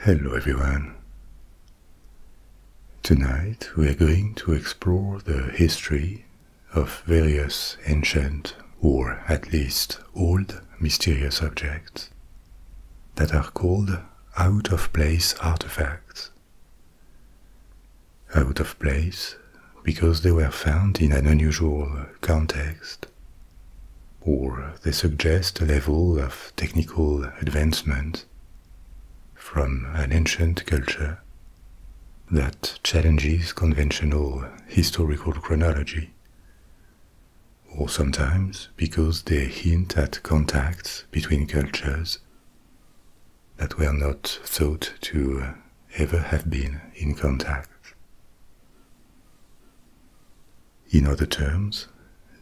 Hello everyone. Tonight we are going to explore the history of various ancient or at least old mysterious objects that are called out of place artifacts. Out of place because they were found in an unusual context or they suggest a level of technical advancement from an ancient culture that challenges conventional historical chronology, or sometimes because they hint at contacts between cultures that were not thought to ever have been in contact. In other terms,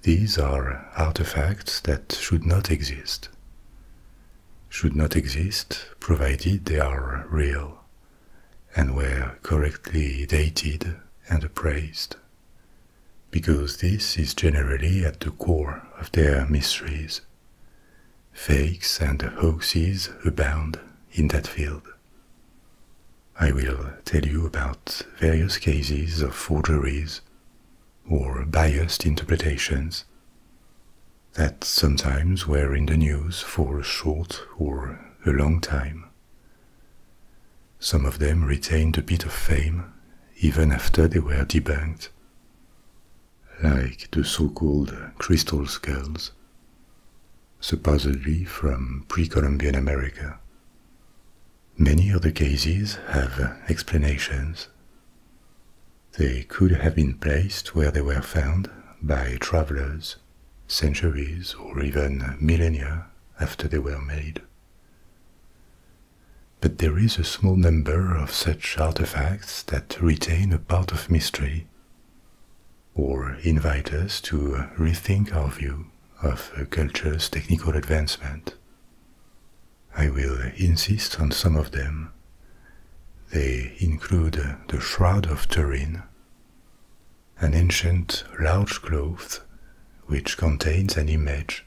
these are artifacts that should not exist. Should not exist provided they are real and were correctly dated and appraised, because this is generally at the core of their mysteries. Fakes and hoaxes abound in that field. I will tell you about various cases of forgeries or biased interpretations that sometimes were in the news for a short or a long time. Some of them retained a bit of fame even after they were debunked, like the so called crystal skulls, supposedly from pre-Columbian America. Many other cases have explanations. They could have been placed where they were found by travelers centuries or even millennia after they were made. But there is a small number of such artifacts that retain a part of mystery or invite us to rethink our view of culture's technical advancement. I will insist on some of them. They include the Shroud of Turin, an ancient large cloth which contains an image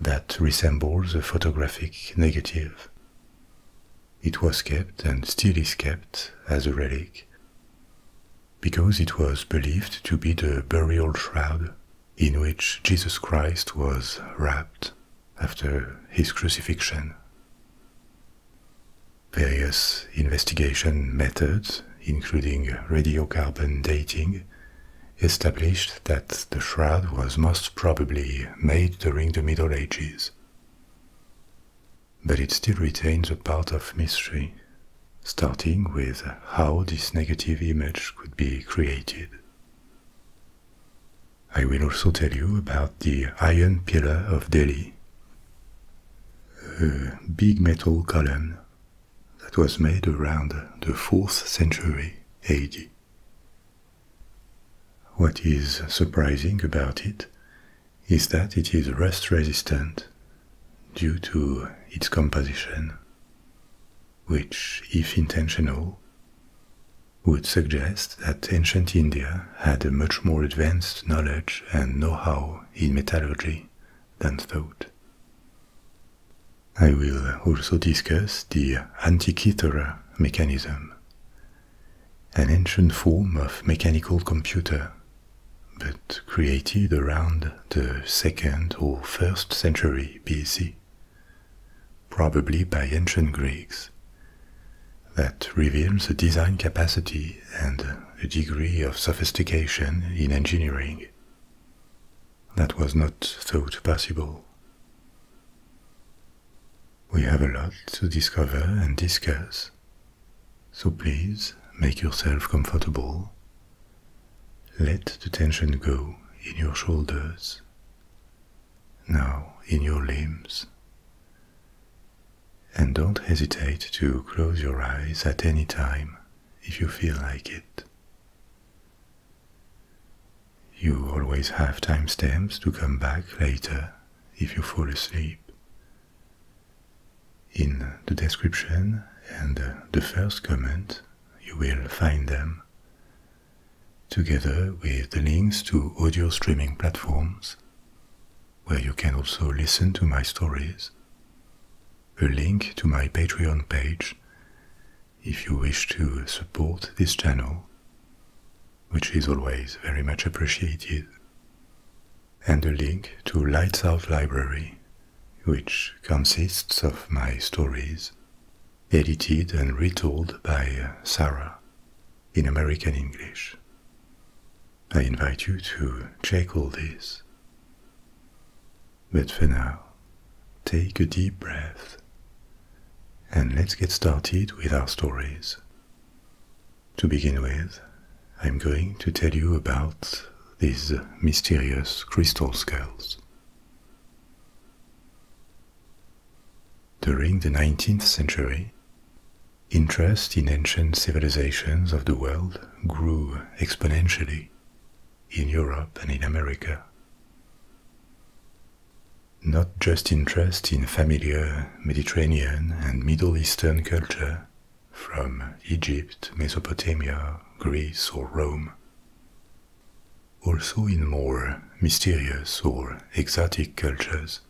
that resembles a photographic negative. It was kept and still is kept as a relic because it was believed to be the burial shroud in which Jesus Christ was wrapped after his crucifixion. Various investigation methods, including radiocarbon dating, established that the shroud was most probably made during the Middle Ages but it still retains a part of mystery, starting with how this negative image could be created. I will also tell you about the Iron Pillar of Delhi, a big metal column that was made around the 4th century AD. What is surprising about it is that it is rust resistant due to its composition, which, if intentional, would suggest that ancient India had a much more advanced knowledge and know-how in metallurgy than thought. I will also discuss the Antikythera mechanism, an ancient form of mechanical computer but created around the 2nd or 1st century BC, probably by ancient Greeks. That reveals a design capacity and a degree of sophistication in engineering that was not thought possible. We have a lot to discover and discuss so please make yourself comfortable. Let the tension go in your shoulders, now in your limbs. And don't hesitate to close your eyes at any time if you feel like it. You always have timestamps to come back later if you fall asleep, in the description and uh, the first comment, you will find them, together with the links to audio streaming platforms, where you can also listen to my stories, a link to my Patreon page if you wish to support this channel, which is always very much appreciated, and a link to Lights Out Library, which consists of my stories, edited and retold by Sarah in American English. I invite you to check all this. But for now, take a deep breath and let's get started with our stories. To begin with, I'm going to tell you about these mysterious crystal skulls. During the 19th century, interest in ancient civilizations of the world grew exponentially in Europe and in America. Not just interest in familiar Mediterranean and Middle Eastern culture from Egypt, Mesopotamia, Greece, or Rome. Also in more mysterious or exotic cultures,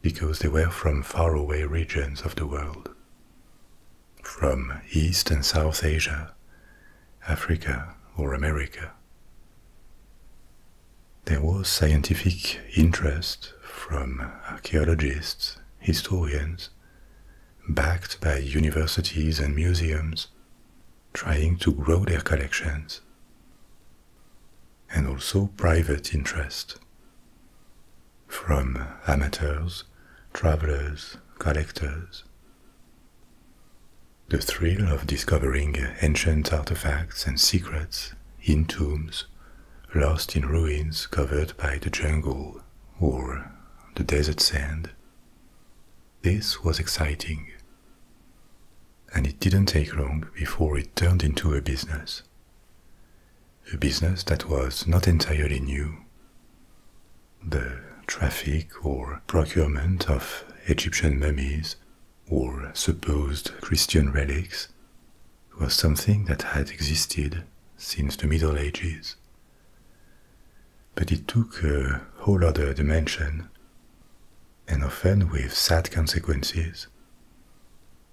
because they were from faraway regions of the world, from East and South Asia, Africa, or America. There was scientific interest from archaeologists, historians, backed by universities and museums, trying to grow their collections, and also private interest from amateurs, travelers, collectors. The thrill of discovering ancient artifacts and secrets in tombs lost in ruins covered by the jungle or the desert sand. This was exciting. And it didn't take long before it turned into a business. A business that was not entirely new. The traffic or procurement of Egyptian mummies or supposed Christian relics was something that had existed since the Middle Ages. But it took a whole other dimension, and often with sad consequences.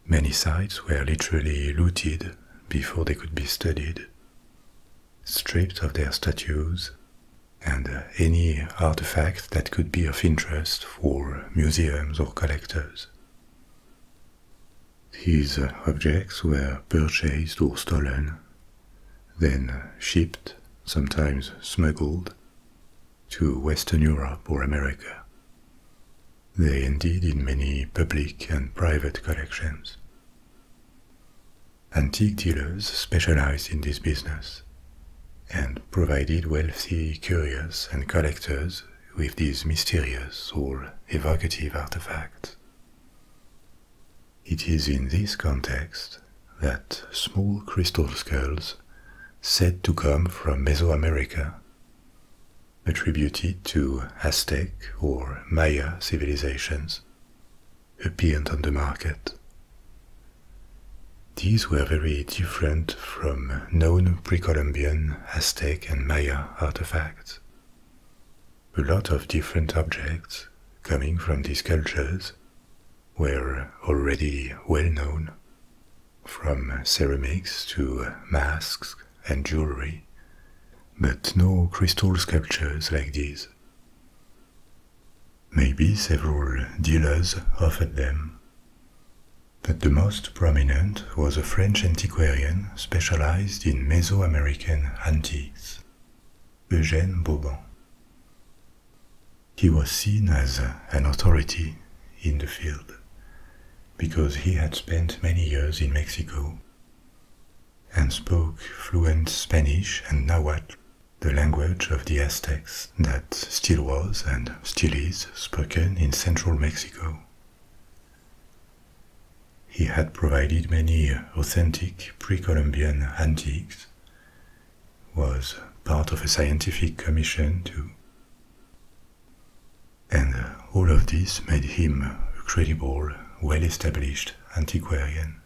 Many sites were literally looted before they could be studied, stripped of their statues and any artifact that could be of interest for museums or collectors. These objects were purchased or stolen, then shipped, sometimes smuggled, to Western Europe or America. They ended in many public and private collections. Antique dealers specialized in this business and provided wealthy curious and collectors with these mysterious or evocative artifacts. It is in this context that small crystal skulls, said to come from Mesoamerica, attributed to Aztec or Maya civilizations, appeared on the market. These were very different from known pre Columbian Aztec and Maya artifacts, a lot of different objects coming from these cultures were already well known, from ceramics to masks and jewelry, but no crystal sculptures like these. Maybe several dealers offered them, but the most prominent was a French antiquarian specialized in Mesoamerican antiques, Eugène Bauban. He was seen as an authority in the field because he had spent many years in Mexico and spoke fluent Spanish and Nahuatl, the language of the Aztecs that still was and still is spoken in central Mexico. He had provided many authentic pre Columbian antiques, was part of a scientific commission too. And all of this made him a credible, well established antiquarian.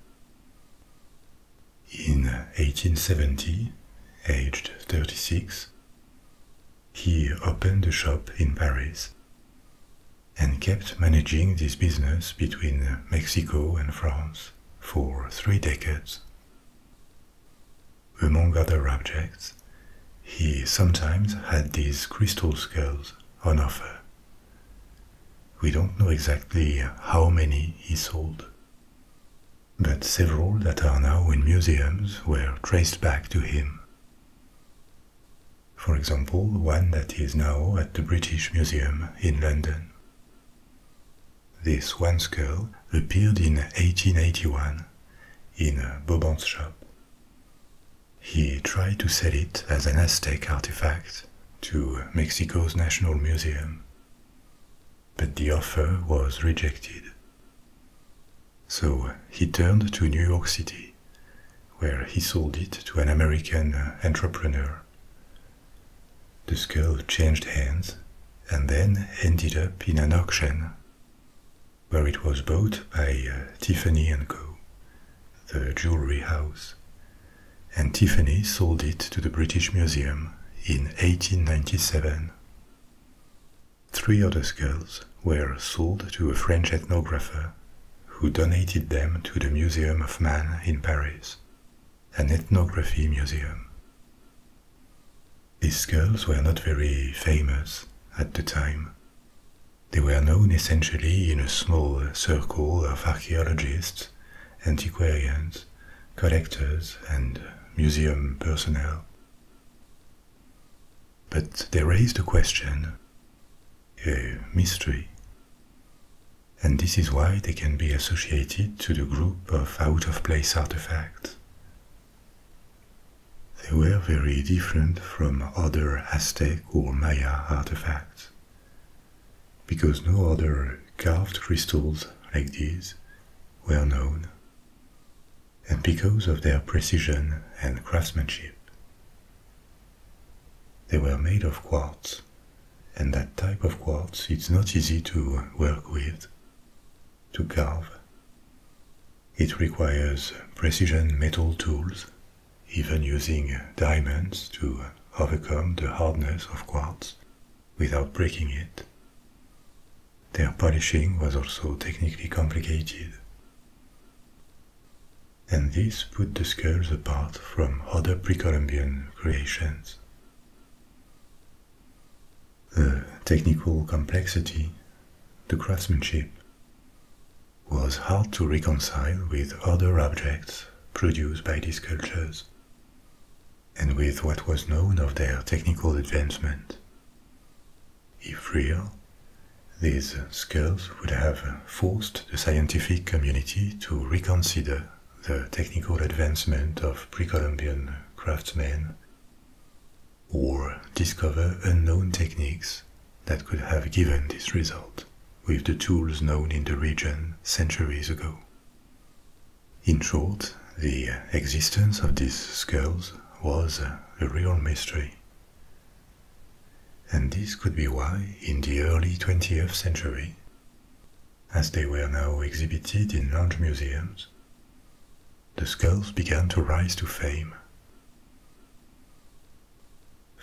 In 1870, aged 36, he opened a shop in Paris and kept managing this business between Mexico and France for three decades. Among other objects, he sometimes had these crystal skulls on offer. We don't know exactly how many he sold, but several that are now in museums were traced back to him for example, one that is now at the British Museum in London. This one skull appeared in 1881 in a Boban's shop. He tried to sell it as an Aztec artifact to Mexico's National Museum, but the offer was rejected. So uh, he turned to New York City, where he sold it to an American uh, entrepreneur. The skull changed hands and then ended up in an auction, where it was bought by uh, Tiffany & Co., the jewelry house, and Tiffany sold it to the British Museum in 1897. Three other skulls were sold to a French ethnographer who donated them to the Museum of Man in Paris, an ethnography museum. These skulls were not very famous at the time. They were known essentially in a small circle of archaeologists, antiquarians, collectors, and museum personnel. But they raised a question a mystery. And this is why they can be associated to the group of out of place artifacts. They were very different from other Aztec or Maya artifacts, because no other carved crystals like these were known, and because of their precision and craftsmanship. They were made of quartz, and that type of quartz it's not easy to work with, to carve. It requires precision metal tools, even using diamonds to overcome the hardness of quartz without breaking it. Their polishing was also technically complicated and this put the skulls apart from other Pre-Columbian creations. The technical complexity, the craftsmanship, was hard to reconcile with other objects produced by these cultures and with what was known of their technical advancement. If real, these skulls would have forced the scientific community to reconsider the technical advancement of pre-Columbian craftsmen or discover unknown techniques that could have given this result with the tools known in the region centuries ago. In short, the existence of these skulls was a real mystery and this could be why, in the early 20th century, as they were now exhibited in large museums, the skulls began to rise to fame.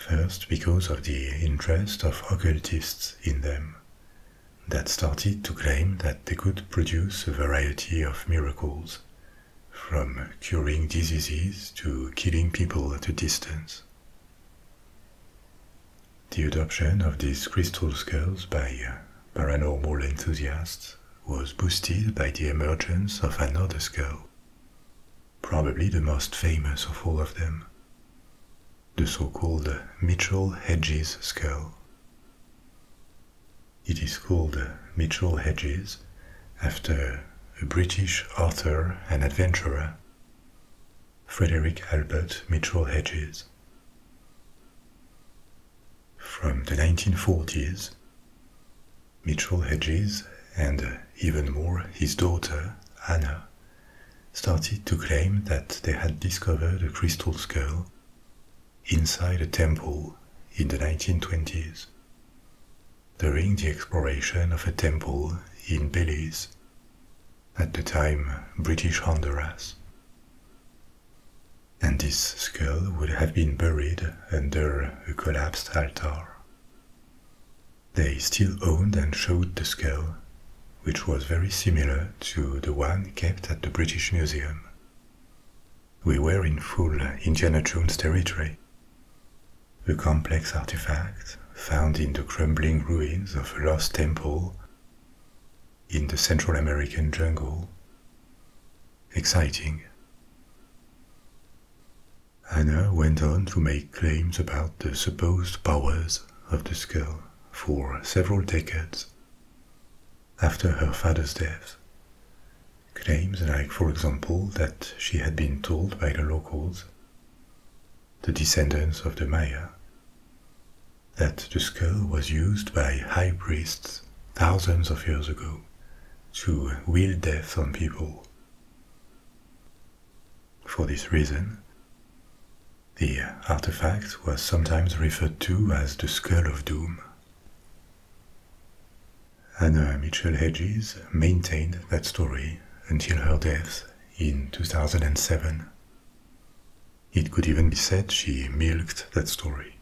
First, because of the interest of occultists in them, that started to claim that they could produce a variety of miracles from curing diseases to killing people at a distance. The adoption of these crystal skulls by uh, paranormal enthusiasts was boosted by the emergence of another skull, probably the most famous of all of them, the so-called Mitchell Hedges skull. It is called Mitchell Hedges after a British author and adventurer, Frederick Albert Mitchell Hedges. From the 1940s, Mitchell Hedges and even more his daughter, Anna, started to claim that they had discovered a crystal skull inside a temple in the 1920s during the exploration of a temple in Belize, at the time British Honduras. And this skull would have been buried under a collapsed altar. They still owned and showed the skull, which was very similar to the one kept at the British Museum. We were in full Indiana Jones territory, a complex artifact found in the crumbling ruins of a lost temple in the Central American jungle. Exciting. Anna went on to make claims about the supposed powers of the skull for several decades after her father's death, Claims like, for example, that she had been told by the locals, the descendants of the Maya, that the skull was used by high priests thousands of years ago to wield death on people. For this reason, the artifact was sometimes referred to as the Skull of Doom. Anna Mitchell Hedges maintained that story until her death in 2007. It could even be said she milked that story.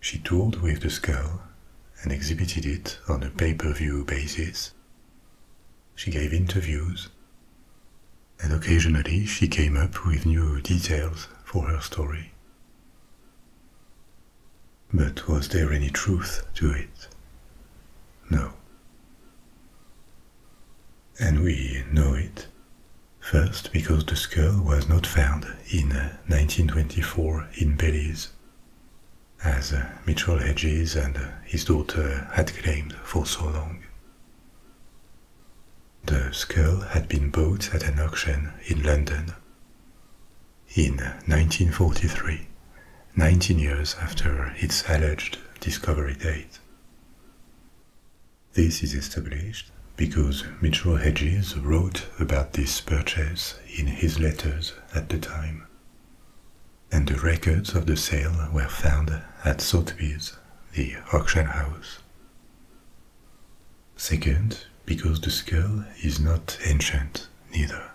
She toured with the skull and exhibited it on a pay per view basis. She gave interviews, and occasionally she came up with new details for her story. But was there any truth to it? No. And we know it. First, because the skull was not found in 1924 uh, in Belize, as uh, Mitchell Hedges and uh, his daughter had claimed for so long. The skull had been bought at an auction in London, in 1943, 19 years after its alleged discovery date. This is established because Metro Hedges wrote about this purchase in his letters at the time. And the records of the sale were found at Sotheby's, the auction house. Second, because the skull is not ancient, neither.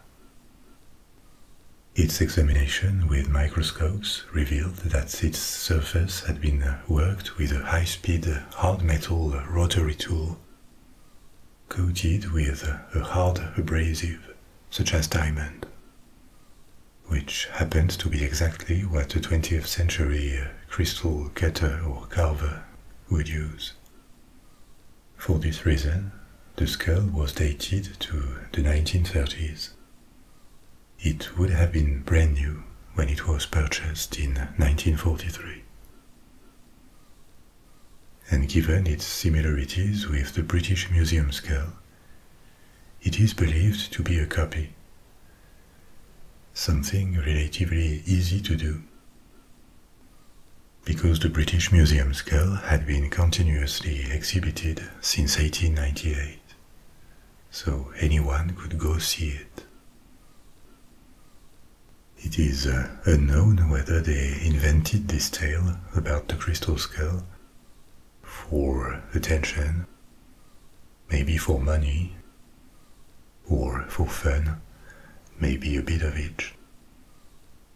Its examination with microscopes revealed that its surface had been worked with a high speed hard metal rotary tool coated with a hard abrasive such as diamond, which happened to be exactly what a 20th century crystal cutter or carver would use. For this reason, the skull was dated to the 1930s. It would have been brand new when it was purchased in 1943. And given its similarities with the British Museum skull, it is believed to be a copy, something relatively easy to do because the British Museum skull had been continuously exhibited since 1898, so anyone could go see it. It is uh, unknown whether they invented this tale about the crystal skull for attention, maybe for money, or for fun, maybe a bit of each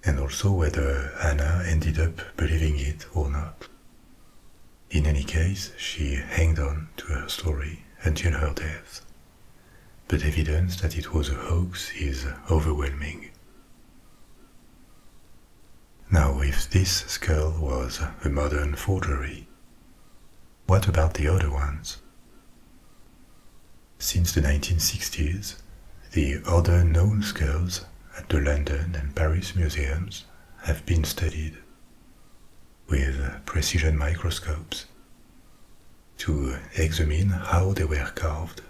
and also whether Anna ended up believing it or not. In any case, she hanged on to her story until her death, but evidence that it was a hoax is overwhelming. Now, if this skull was a modern forgery, what about the other ones? Since the 1960s, the other known skulls at the London and Paris museums have been studied with precision microscopes to examine how they were carved,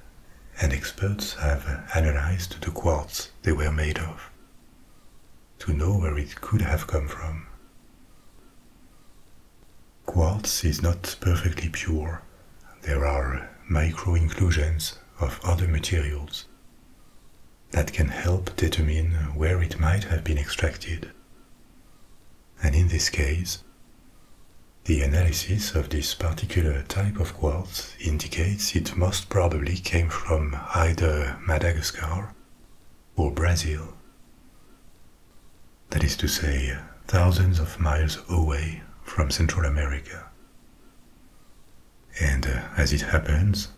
and experts have analyzed the quartz they were made of to know where it could have come from. Quartz is not perfectly pure, there are micro inclusions of other materials that can help determine where it might have been extracted. And in this case, the analysis of this particular type of quartz indicates it most probably came from either Madagascar or Brazil. That is to say, thousands of miles away from Central America. And uh, as it happens,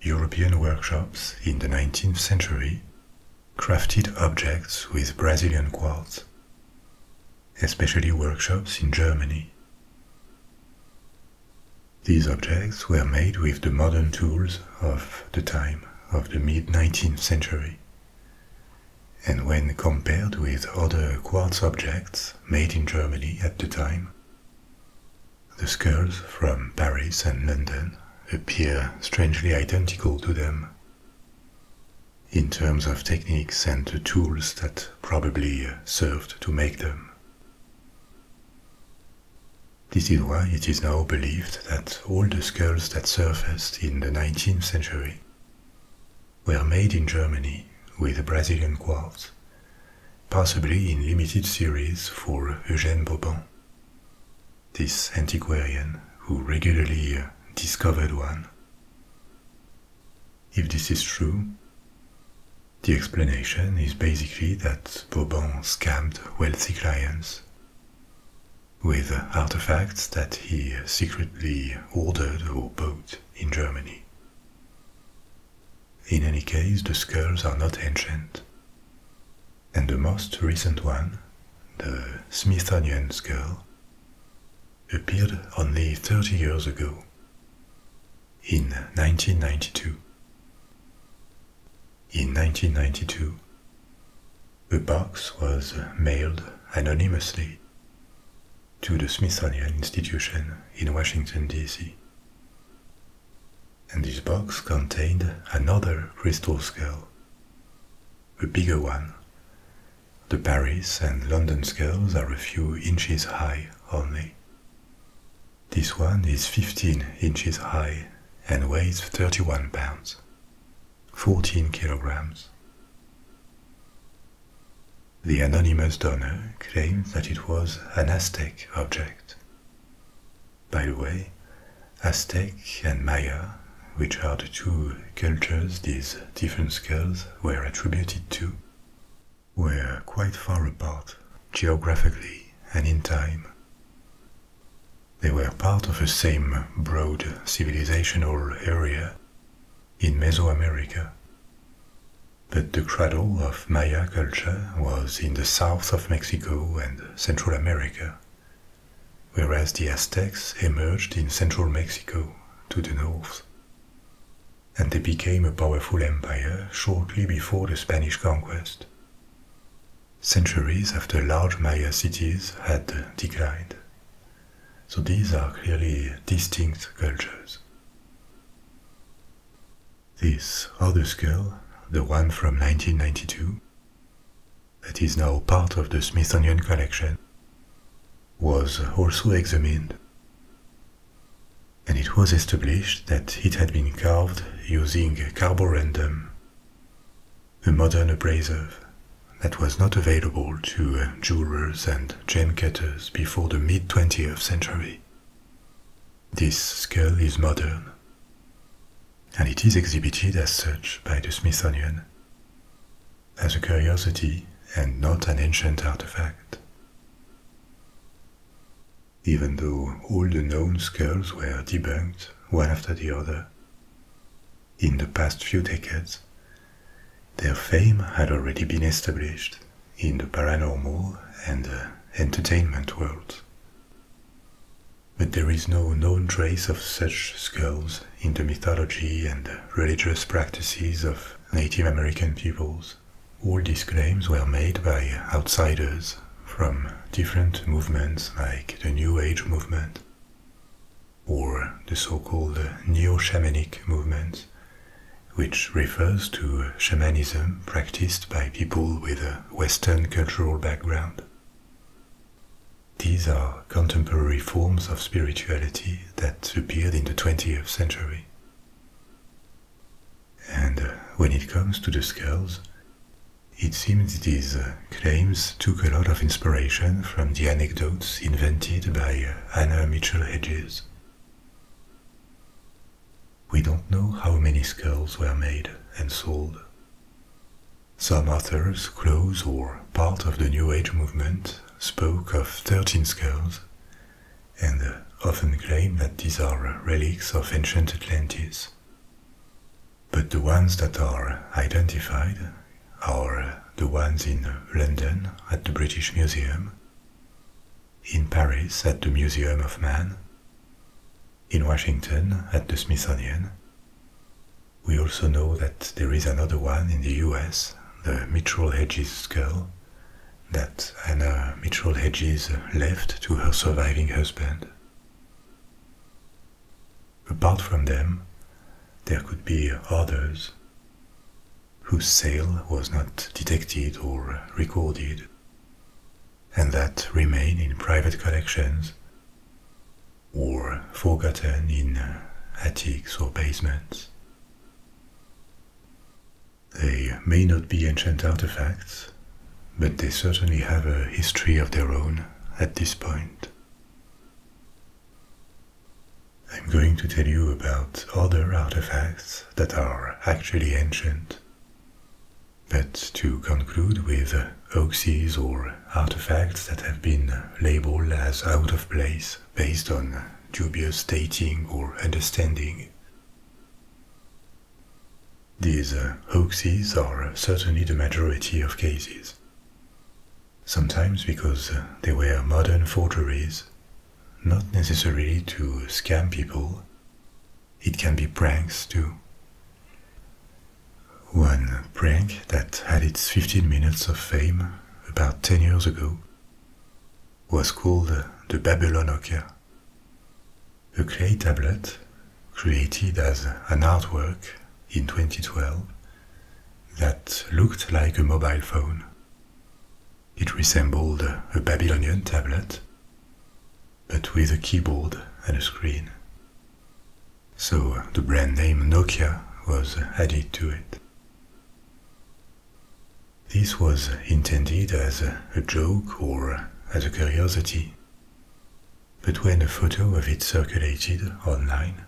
European workshops in the 19th century crafted objects with Brazilian quartz, especially workshops in Germany. These objects were made with the modern tools of the time of the mid 19th century and when compared with other quartz objects made in Germany at the time, the skulls from Paris and London appear strangely identical to them. In terms of techniques and the tools that probably served to make them. This is why it is now believed that all the skulls that surfaced in the 19th century were made in Germany with Brazilian quartz, possibly in limited series for Eugène Boban, this antiquarian who regularly uh, discovered one. If this is true, the explanation is basically that Boban scammed wealthy clients with artifacts that he secretly ordered or bought in Germany. In any case, the skulls are not ancient, and the most recent one, the Smithsonian skull, appeared only 30 years ago, in 1992. In 1992, a box was mailed anonymously to the Smithsonian Institution in Washington, D.C. And this box contained another crystal scale. a bigger one. The Paris and London scales are a few inches high only. This one is 15 inches high and weighs 31 pounds, 14 kilograms. The anonymous donor claimed that it was an Aztec object. By the way, Aztec and Maya, which are the two cultures these different skulls were attributed to, were quite far apart geographically and in time. They were part of the same broad civilizational area in Mesoamerica. But the cradle of Maya culture was in the south of Mexico and Central America, whereas the Aztecs emerged in central Mexico to the north. And they became a powerful empire shortly before the Spanish conquest. Centuries after large Maya cities had declined, so these are clearly distinct cultures. This other skull, the one from 1992, that is now part of the Smithsonian collection, was also examined and it was established that it had been carved using carborundum, a modern abrasive that was not available to uh, jewelers and gem cutters before the mid 20th century. This skull is modern, and it is exhibited as such by the Smithsonian, as a curiosity and not an ancient artifact. Even though all the known skulls were debunked one after the other, in the past few decades, their fame had already been established in the paranormal and uh, entertainment world. But there is no known trace of such skulls in the mythology and religious practices of Native American peoples. All these claims were made by outsiders from different movements like the New Age movement or the so called neo shamanic movement, which refers to shamanism practiced by people with a Western cultural background. These are contemporary forms of spirituality that appeared in the 20th century. And uh, when it comes to the skulls, it seems these uh, claims took a lot of inspiration from the anecdotes invented by uh, Anna Mitchell Hedges. We don't know how many skulls were made and sold. Some authors close or part of the New Age movement spoke of 13 skulls and often claim that these are relics of ancient Atlantis. But the ones that are identified or the ones in London at the British Museum, in Paris at the Museum of Man, in Washington at the Smithsonian. We also know that there is another one in the US, the Mitchell Hedges skull, that Anna Mitchell Hedges left to her surviving husband. Apart from them, there could be others whose sale was not detected or recorded, and that remain in private collections or forgotten in attics or basements. They may not be ancient artifacts, but they certainly have a history of their own at this point. I'm going to tell you about other artifacts that are actually ancient. But to conclude with hoaxes or artifacts that have been labeled as out of place based on dubious dating or understanding. These hoaxes uh, are certainly the majority of cases sometimes because uh, they were modern forgeries, not necessarily to scam people. It can be pranks too. One prank that had its 15 minutes of fame about 10 years ago was called uh, the Babylonokia, a clay tablet created as an artwork in 2012 that looked like a mobile phone it resembled a Babylonian tablet, but with a keyboard and a screen. So uh, the brand name Nokia was added to it. This was intended as a joke or uh, as a curiosity, but when a photo of it circulated online,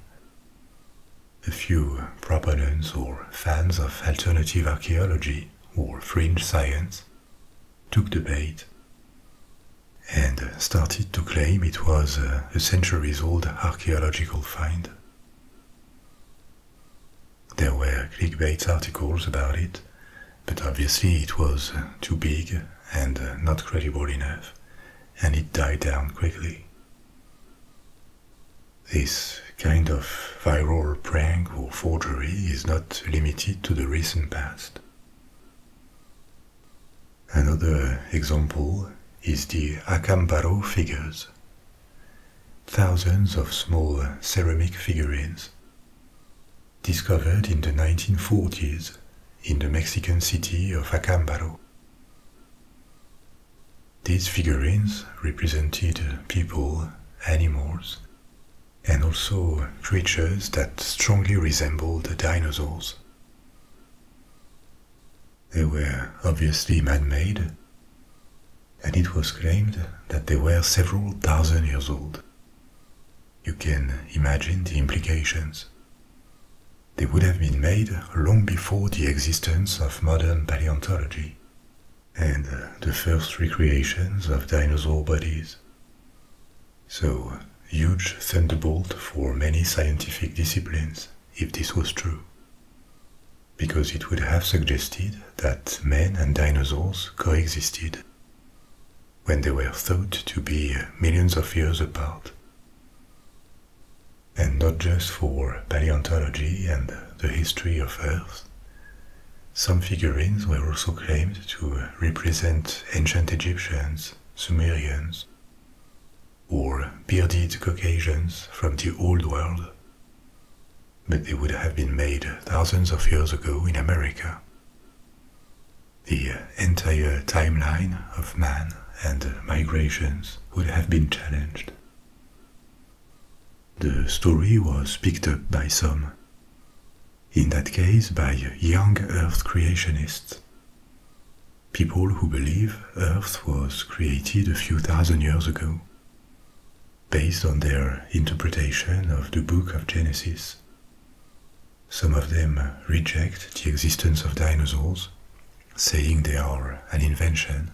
a few proponents or fans of alternative archaeology or fringe science took the bait and started to claim it was a centuries old archaeological find. There were clickbait articles about it, but obviously it was too big and not credible enough, and it died down quickly. This kind of viral prank or forgery is not limited to the recent past. Another example is the Acámbaro figures, thousands of small ceramic figurines discovered in the 1940s in the Mexican city of Acámbaro. These figurines represented people, animals, and also creatures that strongly resembled the dinosaurs. They were obviously man-made, and it was claimed that they were several thousand years old. You can imagine the implications. They would have been made long before the existence of modern paleontology and uh, the first recreations of dinosaur bodies. So, uh, huge thunderbolt for many scientific disciplines, if this was true. Because it would have suggested that men and dinosaurs coexisted when they were thought to be uh, millions of years apart and not just for paleontology and the history of Earth. Some figurines were also claimed to represent ancient Egyptians, Sumerians, or bearded Caucasians from the Old World, but they would have been made thousands of years ago in America. The entire timeline of man and migrations would have been challenged. The story was picked up by some, in that case by young Earth creationists, people who believe Earth was created a few thousand years ago, based on their interpretation of the book of Genesis. Some of them reject the existence of dinosaurs, saying they are an invention.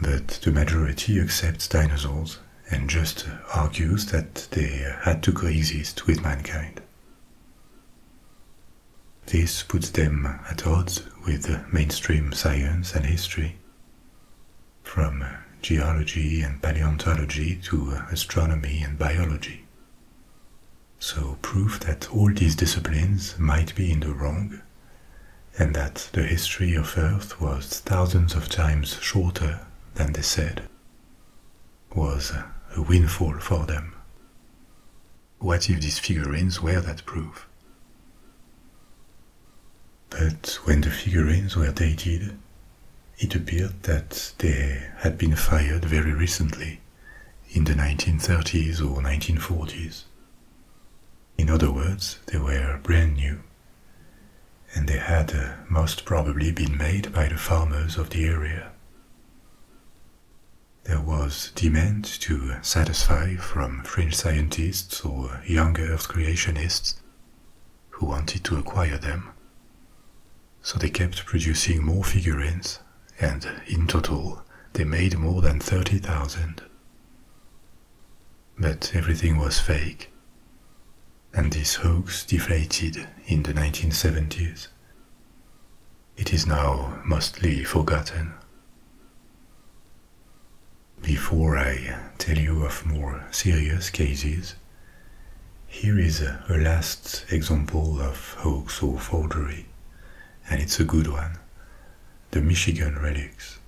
But the majority accepts dinosaurs and just argues that they had to coexist with mankind. This puts them at odds with mainstream science and history. From geology and paleontology to astronomy and biology. So, proof that all these disciplines might be in the wrong and that the history of Earth was thousands of times shorter than they said, was a windfall for them. What if these figurines were that proof? But when the figurines were dated, it appeared that they had been fired very recently, in the 1930s or 1940s, in other words, they were brand new, and they had uh, most probably been made by the farmers of the area. There was demand to satisfy from French scientists or young Earth creationists who wanted to acquire them. So they kept producing more figurines, and in total, they made more than 30,000. But everything was fake, and this hoax deflated in the 1970s. It is now mostly forgotten. Before I tell you of more serious cases, here is a last example of hoax or forgery and it's a good one The Michigan Relics.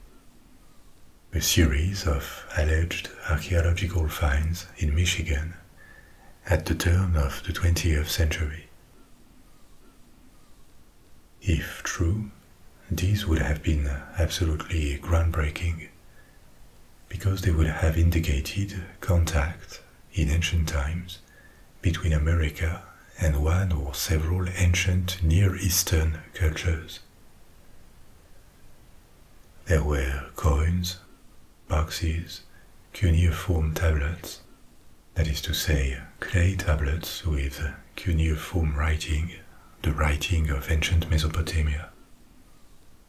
A series of alleged archaeological finds in Michigan at the turn of the 20th century. If true, these would have been absolutely groundbreaking because they would have indicated contact in ancient times between America and one or several ancient Near Eastern cultures. There were coins, boxes, cuneiform tablets, that is to say, clay tablets with cuneiform writing, the writing of ancient Mesopotamia.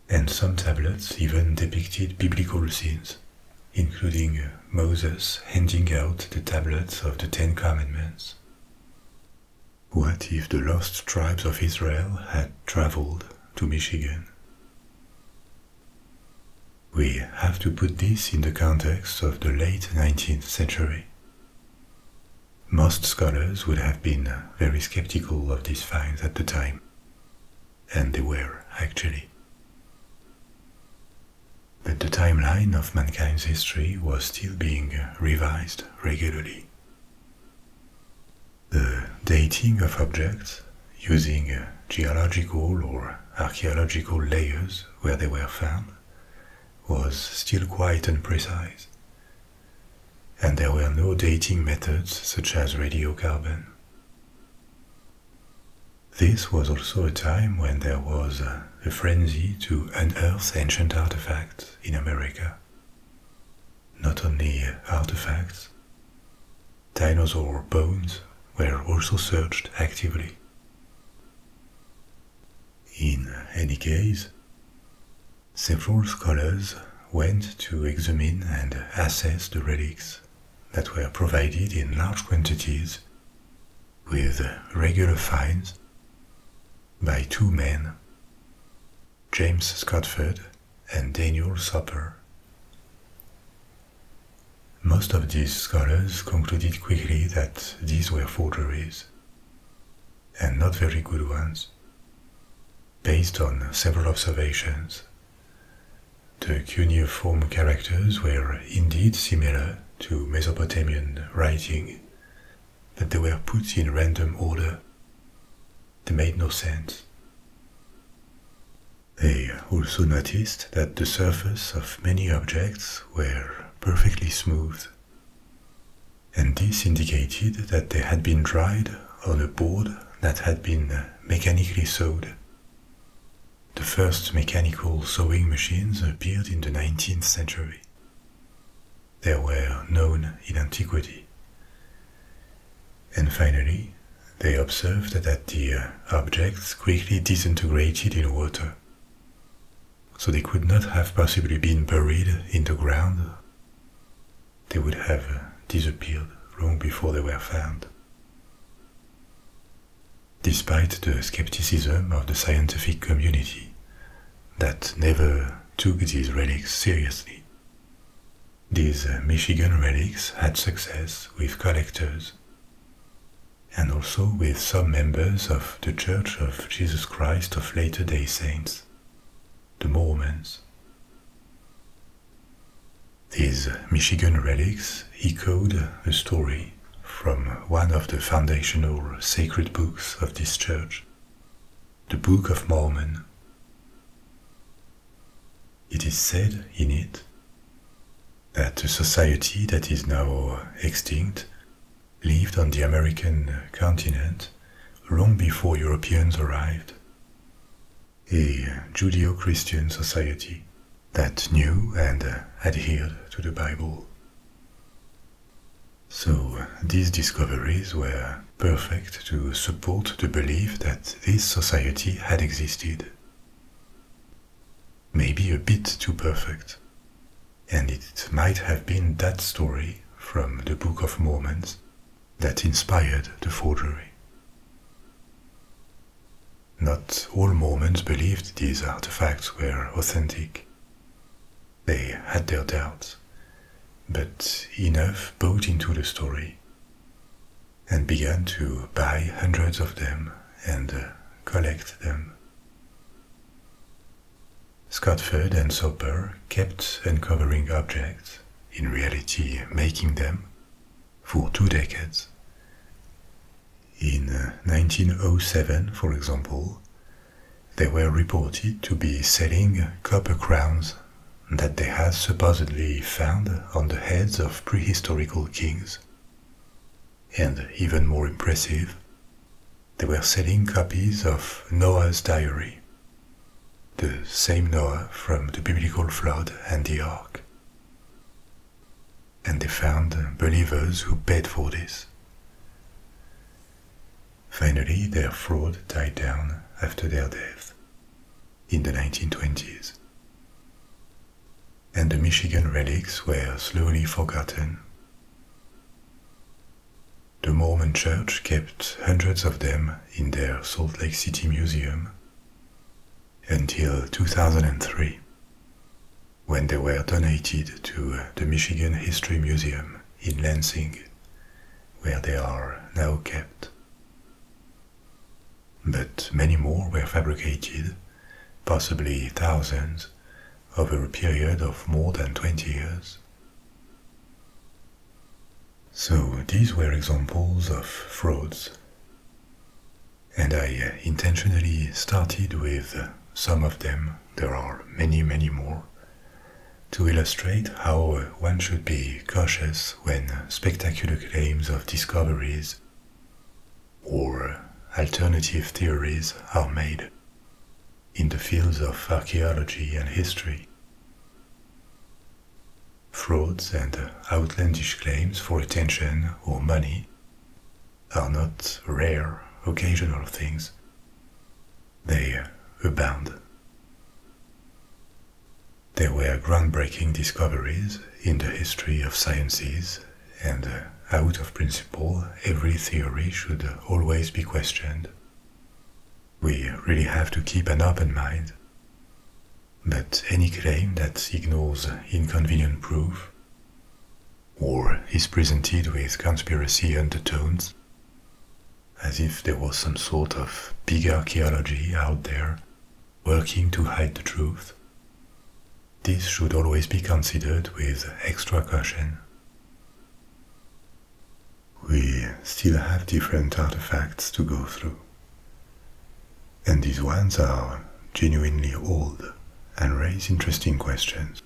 And some tablets even depicted biblical scenes, including Moses handing out the tablets of the Ten Commandments. What if the lost tribes of Israel had traveled to Michigan? We have to put this in the context of the late 19th century. Most scholars would have been very skeptical of these finds at the time, and they were actually but the timeline of mankind's history was still being revised regularly. The dating of objects using geological or archaeological layers where they were found was still quite imprecise, and there were no dating methods such as radiocarbon. This was also a time when there was a frenzy to unearth ancient artifacts in America. Not only uh, artifacts, dinosaur bones were also searched actively. In any case, several scholars went to examine and assess the relics that were provided in large quantities with regular fines by two men, James Scottford and Daniel Soper. Most of these scholars concluded quickly that these were forgeries, and not very good ones, based on several observations. The cuneiform characters were indeed similar to Mesopotamian writing that they were put in random order. They made no sense. They also noticed that the surface of many objects were perfectly smooth, and this indicated that they had been dried on a board that had been mechanically sewed. The first mechanical sewing machines appeared in the 19th century. They were known in antiquity. And finally, they observed that the uh, objects quickly disintegrated in water. So they could not have possibly been buried in the ground. They would have uh, disappeared long before they were found. Despite the skepticism of the scientific community that never took these relics seriously, these uh, Michigan relics had success with collectors and also with some members of the Church of Jesus Christ of Latter day Saints, the Mormons. These uh, Michigan relics echoed a story from one of the foundational sacred books of this church, the Book of Mormon. It is said in it that a society that is now extinct lived on the American continent long before Europeans arrived. A Judeo Christian society that knew and adhered to the Bible. So these discoveries were perfect to support the belief that this society had existed. Maybe a bit too perfect. And it might have been that story from the Book of Mormons that inspired the forgery. Not all Mormons believed these artifacts were authentic, they had their doubts, but enough bought into the story and began to buy hundreds of them and uh, collect them. Scott Scottford and Soper kept uncovering objects, in reality making them, for two decades. In 1907, uh, for example, they were reported to be selling copper crowns that they had supposedly found on the heads of prehistorical kings. And even more impressive, they were selling copies of Noah's diary, the same Noah from the biblical flood and the ark and they found believers who paid for this. Finally, their fraud died down after their death in the 1920s, and the Michigan relics were slowly forgotten. The Mormon Church kept hundreds of them in their Salt Lake City Museum until 2003 when they were donated to uh, the Michigan History Museum in Lansing, where they are now kept. But many more were fabricated, possibly thousands, over a period of more than 20 years. So these were examples of frauds. And I uh, intentionally started with uh, some of them there are many, many more, to illustrate how one should be cautious when spectacular claims of discoveries or alternative theories are made in the fields of archaeology and history. Frauds and outlandish claims for attention or money are not rare, occasional things, they abound. There were groundbreaking discoveries in the history of sciences, and uh, out of principle, every theory should always be questioned. We really have to keep an open mind. But any claim that ignores inconvenient proof or is presented with conspiracy undertones, as if there was some sort of big archaeology out there working to hide the truth. This should always be considered with extra caution. We still have different artifacts to go through. And these ones are genuinely old and raise interesting questions.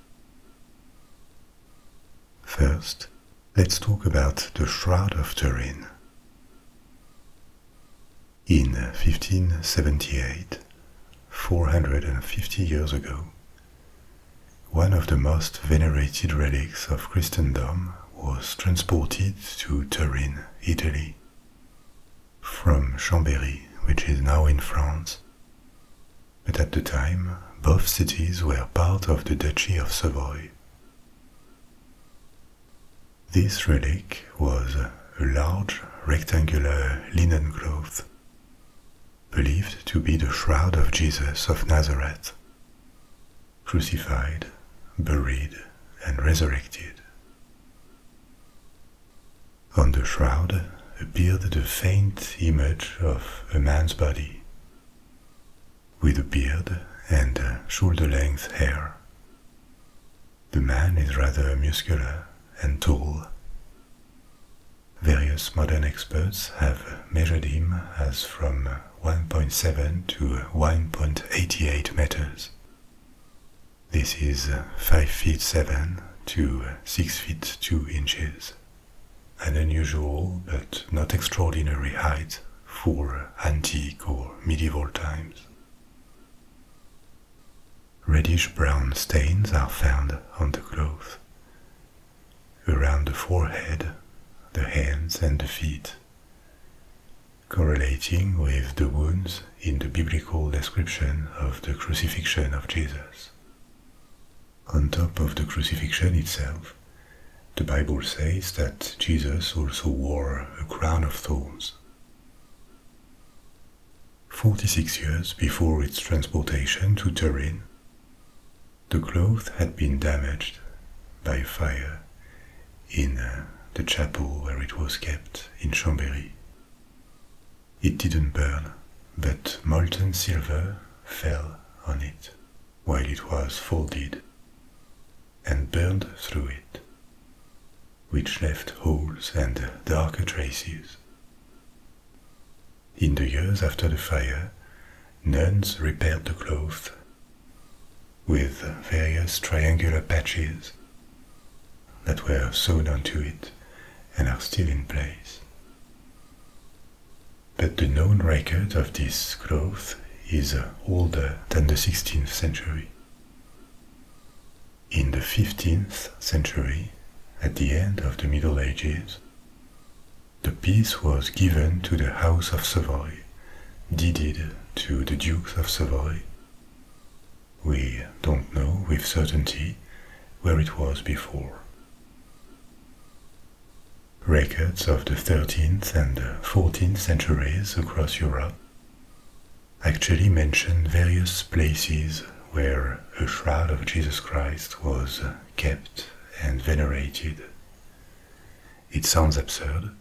First, let's talk about the Shroud of Turin. In 1578, 450 years ago, one of the most venerated relics of Christendom was transported to Turin, Italy. From Chambéry, which is now in France, but at the time both cities were part of the Duchy of Savoy. This relic was a large rectangular linen cloth, believed to be the shroud of Jesus of Nazareth, crucified, buried, and resurrected. On the shroud appeared the faint image of a man's body, with a beard and shoulder-length hair. The man is rather muscular and tall. Various modern experts have measured him as from 1.7 to 1.88 meters. This is 5 feet 7 to 6 feet 2 inches an unusual but not extraordinary height for antique or medieval times. Reddish brown stains are found on the cloth, around the forehead, the hands, and the feet, correlating with the wounds in the biblical description of the crucifixion of Jesus on top of the crucifixion itself, the Bible says that Jesus also wore a crown of thorns. 46 years before its transportation to Turin, the cloth had been damaged by fire in uh, the chapel where it was kept in Chambéry. It didn't burn, but molten silver fell on it while it was folded and burned through it, which left holes and darker traces. In the years after the fire, nuns repaired the cloth with various triangular patches that were sewn onto it and are still in place. But the known record of this growth is uh, older than the 16th century. In the 15th century, at the end of the Middle Ages, the piece was given to the House of Savoy, deeded to the Dukes of Savoy. We don't know with certainty where it was before. Records of the 13th and 14th centuries across Europe actually mention various places where a shroud of Jesus Christ was kept and venerated. It sounds absurd,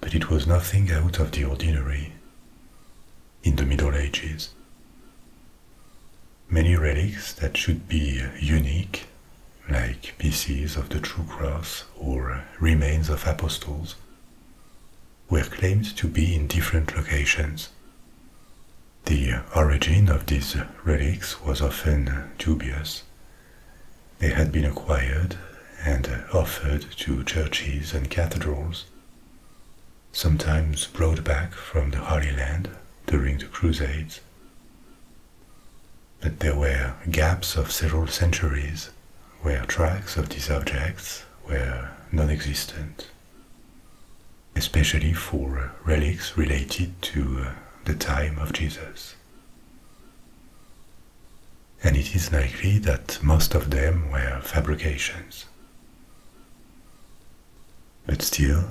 but it was nothing out of the ordinary. In the Middle Ages, Many relics that should be unique, like pieces of the true cross or remains of apostles, were claimed to be in different locations. The origin of these relics was often dubious. They had been acquired and offered to churches and cathedrals, sometimes brought back from the Holy Land during the Crusades. But there were gaps of several centuries where tracks of these objects were non-existent, especially for relics related to uh, the time of Jesus. And it is likely that most of them were fabrications. But still,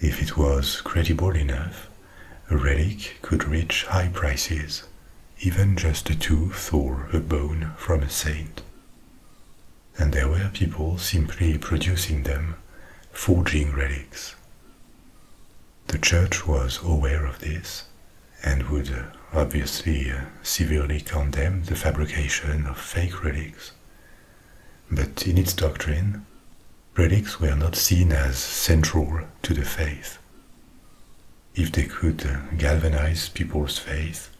if it was credible enough, a relic could reach high prices, even just a tooth or a bone from a saint. And there were people simply producing them, forging relics. The church was aware of this and would uh, obviously uh, severely condemn the fabrication of fake relics, but in its doctrine, relics were not seen as central to the faith. If they could uh, galvanize people's faith,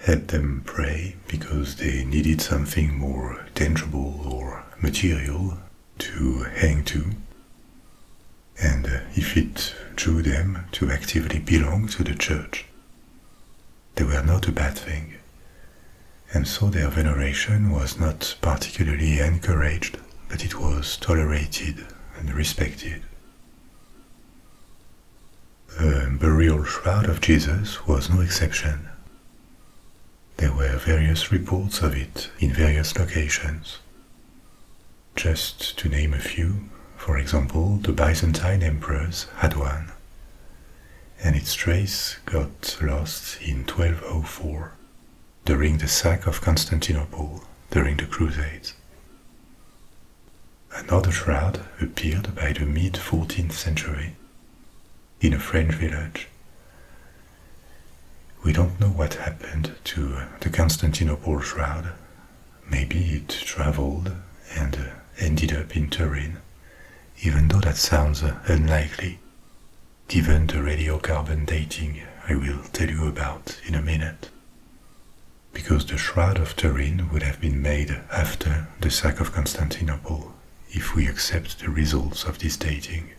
help them pray because they needed something more tangible or material to hang to, and uh, if it drew them to actively belong to the church, they were not a bad thing, and so their veneration was not particularly encouraged, but it was tolerated and respected. The burial shroud of Jesus was no exception. There were various reports of it in various locations. Just to name a few, for example, the Byzantine emperors had one, and its trace got lost in 1204 during the sack of Constantinople during the Crusades. Another shroud appeared by the mid 14th century in a French village. We don't know what happened to the Constantinople shroud. Maybe it traveled and ended up in Turin even though that sounds uh, unlikely, given the radiocarbon dating I will tell you about in a minute. Because the Shroud of Turin would have been made after the sack of Constantinople, if we accept the results of this dating.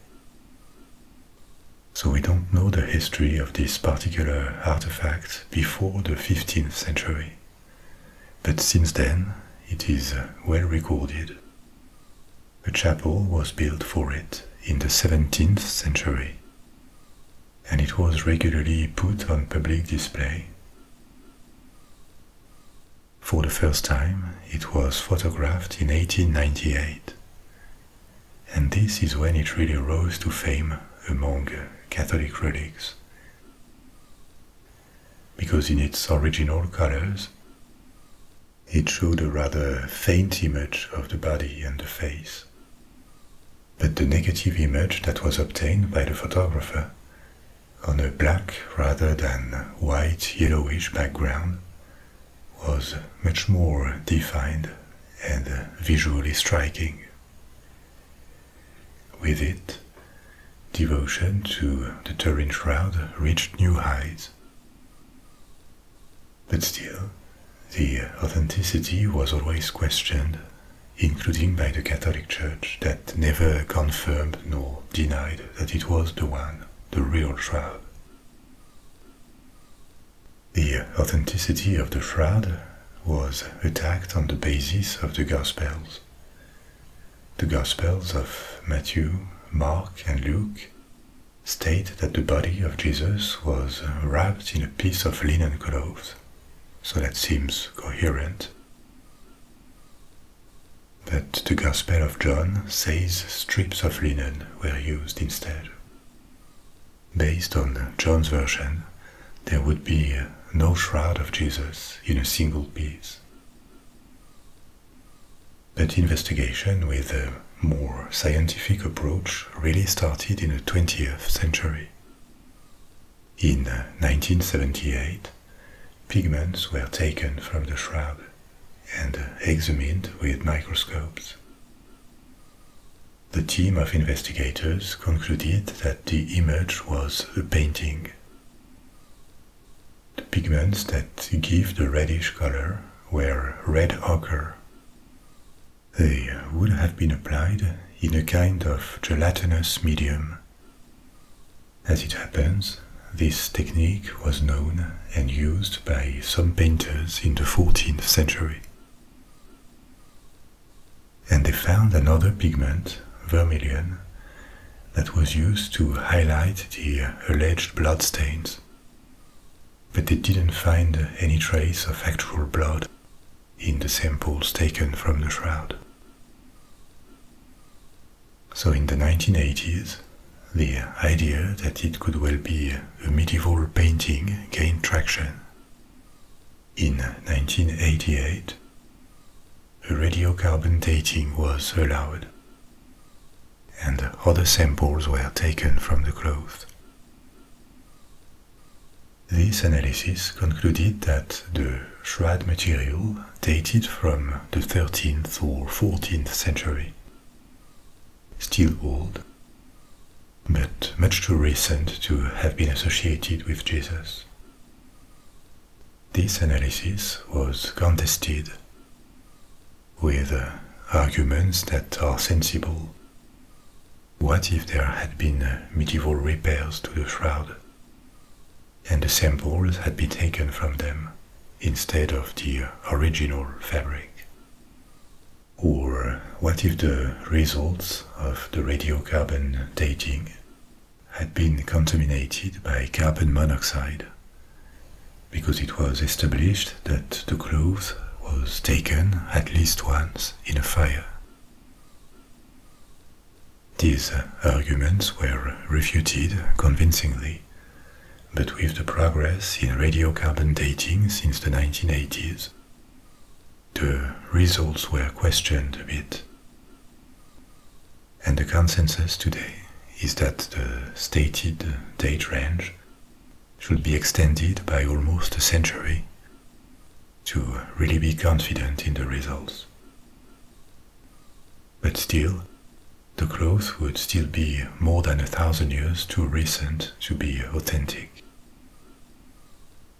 So we don't know the history of this particular artifact before the 15th century but since then, it is uh, well recorded. A chapel was built for it in the 17th century, and it was regularly put on public display. For the first time, it was photographed in 1898, and this is when it really rose to fame among Catholic relics because in its original colors, it showed a rather faint image of the body and the face. But the negative image that was obtained by the photographer on a black rather than white yellowish background was much more defined and visually striking. With it, devotion to the Turin Shroud reached new heights. But still, the authenticity was always questioned, including by the Catholic Church that never confirmed nor denied that it was the one, the real shroud. The authenticity of the shroud was attacked on the basis of the Gospels, the Gospels of Matthew, Mark, and Luke state that the body of Jesus was uh, wrapped in a piece of linen cloth, so that seems coherent. But the Gospel of John says strips of linen were used instead. Based on John's version, there would be uh, no shroud of Jesus in a single piece. But investigation with a more scientific approach really started in the 20th century. In 1978, pigments were taken from the shrub, and examined with microscopes. The team of investigators concluded that the image was a painting. The pigments that give the reddish color were red ochre. They would have been applied in a kind of gelatinous medium. As it happens, this technique was known and used by some painters in the 14th century. And they found another pigment, vermilion, that was used to highlight the alleged blood stains, But they didn't find any trace of actual blood in the samples taken from the shroud. So in the 1980s, the idea that it could well be a medieval painting gained traction. In 1988, a radiocarbon dating was allowed, and other samples were taken from the cloth. This analysis concluded that the shroud material dated from the 13th or 14th century, still old, but much too recent to have been associated with Jesus. This analysis was contested with uh, arguments that are sensible. What if there had been uh, medieval repairs to the shroud and the samples had been taken from them instead of the original fabric? Or uh, what if the results of the radiocarbon dating had been contaminated by carbon monoxide because it was established that the cloth was taken at least once in a fire. These uh, arguments were refuted convincingly, but with the progress in radiocarbon dating since the 1980s, the results were questioned a bit. And the consensus today is that the stated date range should be extended by almost a century to really be confident in the results. But still, the cloth would still be more than a thousand years too recent to be authentic.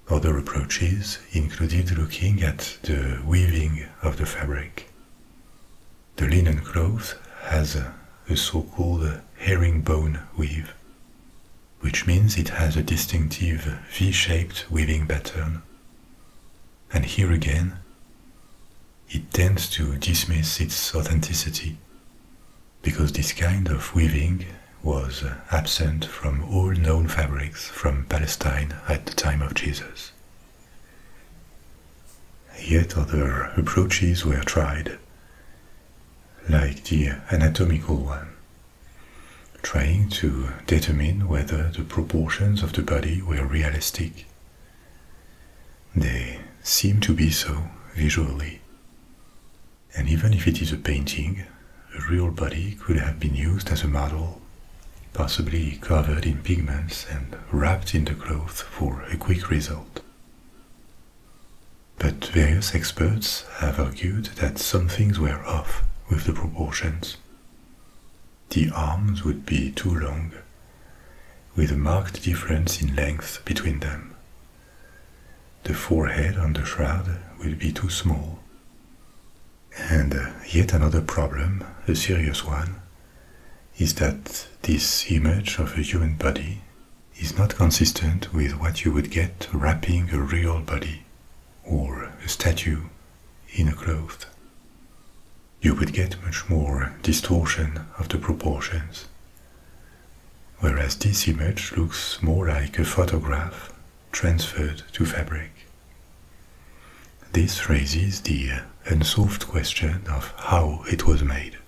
Other approaches included looking at the weaving of the fabric the linen cloth has a, so-called herringbone weave, which means it has a distinctive V-shaped weaving pattern. And here again, it tends to dismiss its authenticity, because this kind of weaving was absent from all known fabrics from Palestine at the time of Jesus. Yet other approaches were tried, like the anatomical one, trying to determine whether the proportions of the body were realistic. They seem to be so visually. And even if it is a painting, a real body could have been used as a model possibly covered in pigments and wrapped in the cloth for a quick result. But various experts have argued that some things were off with the proportions. The arms would be too long, with a marked difference in length between them. The forehead on the shroud would be too small. And uh, yet another problem, a serious one, is that this image of a human body is not consistent with what you would get wrapping a real body or a statue in a cloth. You would get much more distortion of the proportions, whereas this image looks more like a photograph transferred to fabric. This raises the unsolved uh, question of how it was made.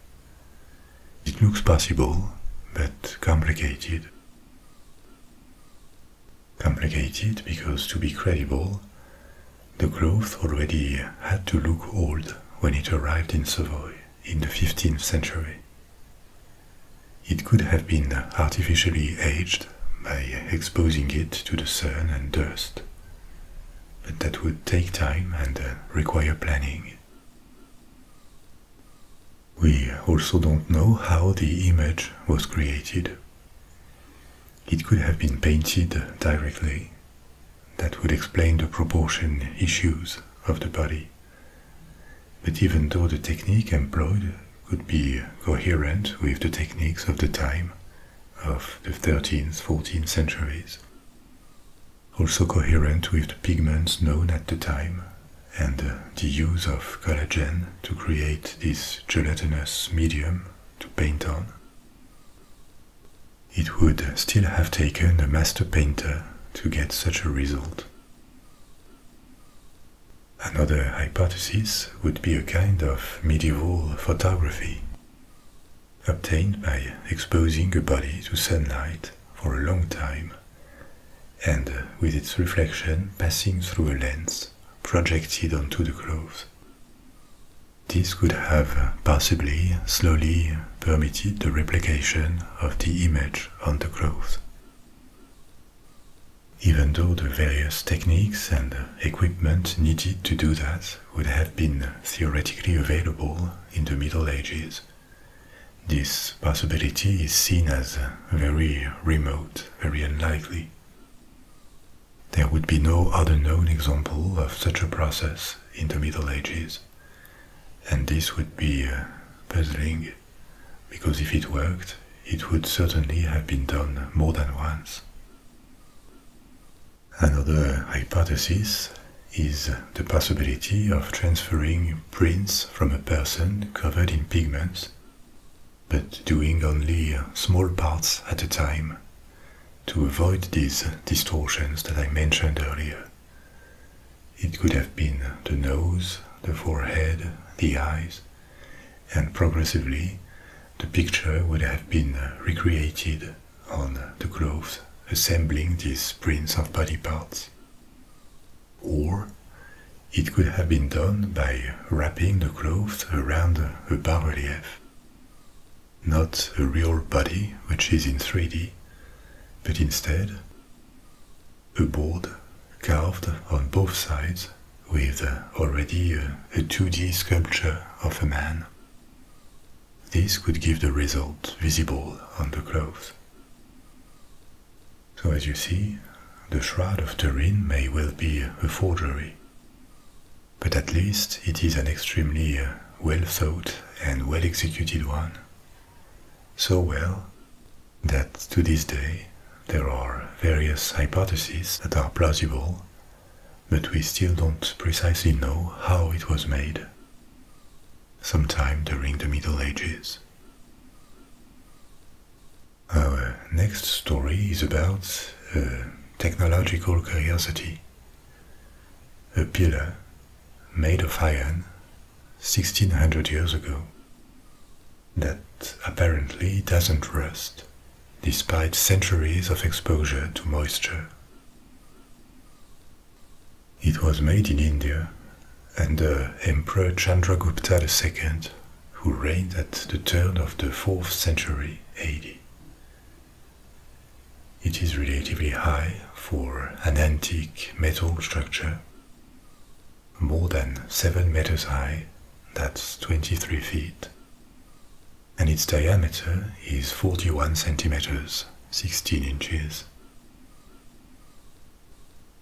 It looks possible, but complicated. Complicated because, to be credible, the growth already had to look old when it arrived in Savoy in the 15th century. It could have been artificially aged by exposing it to the sun and dust but that would take time and uh, require planning. We also don't know how the image was created. It could have been painted directly. That would explain the proportion issues of the body. But even though the technique employed could be coherent with the techniques of the time, of the 13th, 14th centuries, also coherent with the pigments known at the time and the use of collagen to create this gelatinous medium to paint on. It would still have taken a master painter to get such a result. Another hypothesis would be a kind of medieval photography obtained by exposing a body to sunlight for a long time and uh, with its reflection passing through a lens projected onto the clothes. This could have uh, possibly slowly permitted the replication of the image on the clothes. Even though the various techniques and uh, equipment needed to do that would have been theoretically available in the Middle Ages. This possibility is seen as very remote, very unlikely. There would be no other known example of such a process in the Middle Ages, and this would be uh, puzzling, because if it worked, it would certainly have been done more than once Another hypothesis is the possibility of transferring prints from a person covered in pigments, but doing only small parts at a time to avoid these distortions that I mentioned earlier. It could have been the nose, the forehead, the eyes, and progressively the picture would have been uh, recreated on uh, the cloth, assembling these prints of body parts. Or it could have been done by wrapping the cloth around a bas-relief. Not a real body, which is in 3D, but instead a board carved on both sides with already a, 2D sculpture of a man. This could give the result visible on the clothes. So as you see, the Shroud of Turin may well be a forgery, but at least it is an extremely uh, well thought and well executed one, so well that to this day there are various hypotheses that are plausible but we still don't precisely know how it was made, sometime during the Middle Ages. Our next story is about a technological curiosity a pillar made of iron 1600 years ago that apparently doesn't rust despite centuries of exposure to moisture. It was made in India under Emperor Chandragupta II, who reigned at the turn of the 4th century AD. It is relatively high for an antique metal structure, more than 7 meters high, that's 23 feet, and its diameter is 41 centimeters, 16 inches.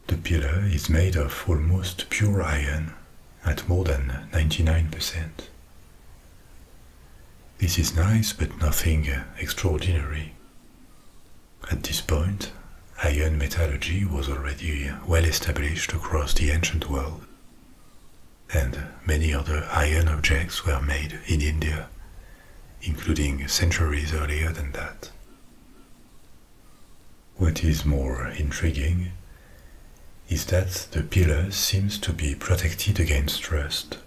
The pillar is made of almost pure iron at more than 99%. This is nice but nothing extraordinary. At this point, iron metallurgy was already well established across the ancient world, and many other iron objects were made in India, including centuries earlier than that. What is more intriguing is that the pillar seems to be protected against rust.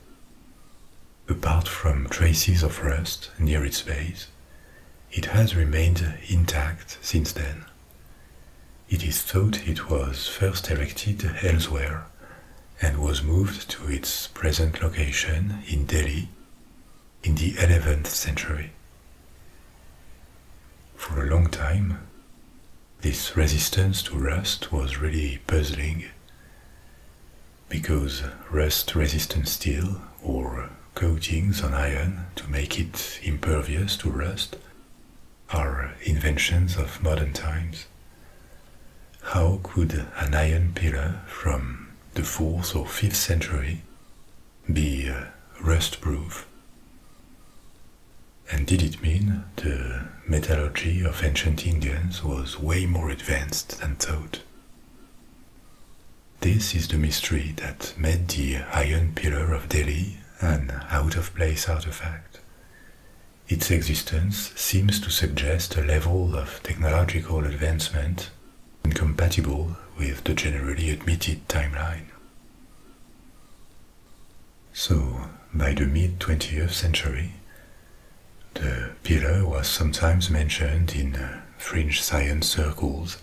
Apart from traces of rust near its base, it has remained intact since then. It is thought it was first erected elsewhere and was moved to its present location in Delhi in the 11th century. For a long time, this resistance to rust was really puzzling because rust resistant steel or coatings on iron to make it impervious to rust are inventions of modern times. How could an iron pillar from the 4th or 5th century be uh, rust proof? And did it mean the metallurgy of ancient Indians was way more advanced than thought? This is the mystery that made the iron pillar of Delhi an out of place artifact its existence seems to suggest a level of technological advancement incompatible with the generally admitted timeline. So, by the mid 20th century, the pillar was sometimes mentioned in fringe science circles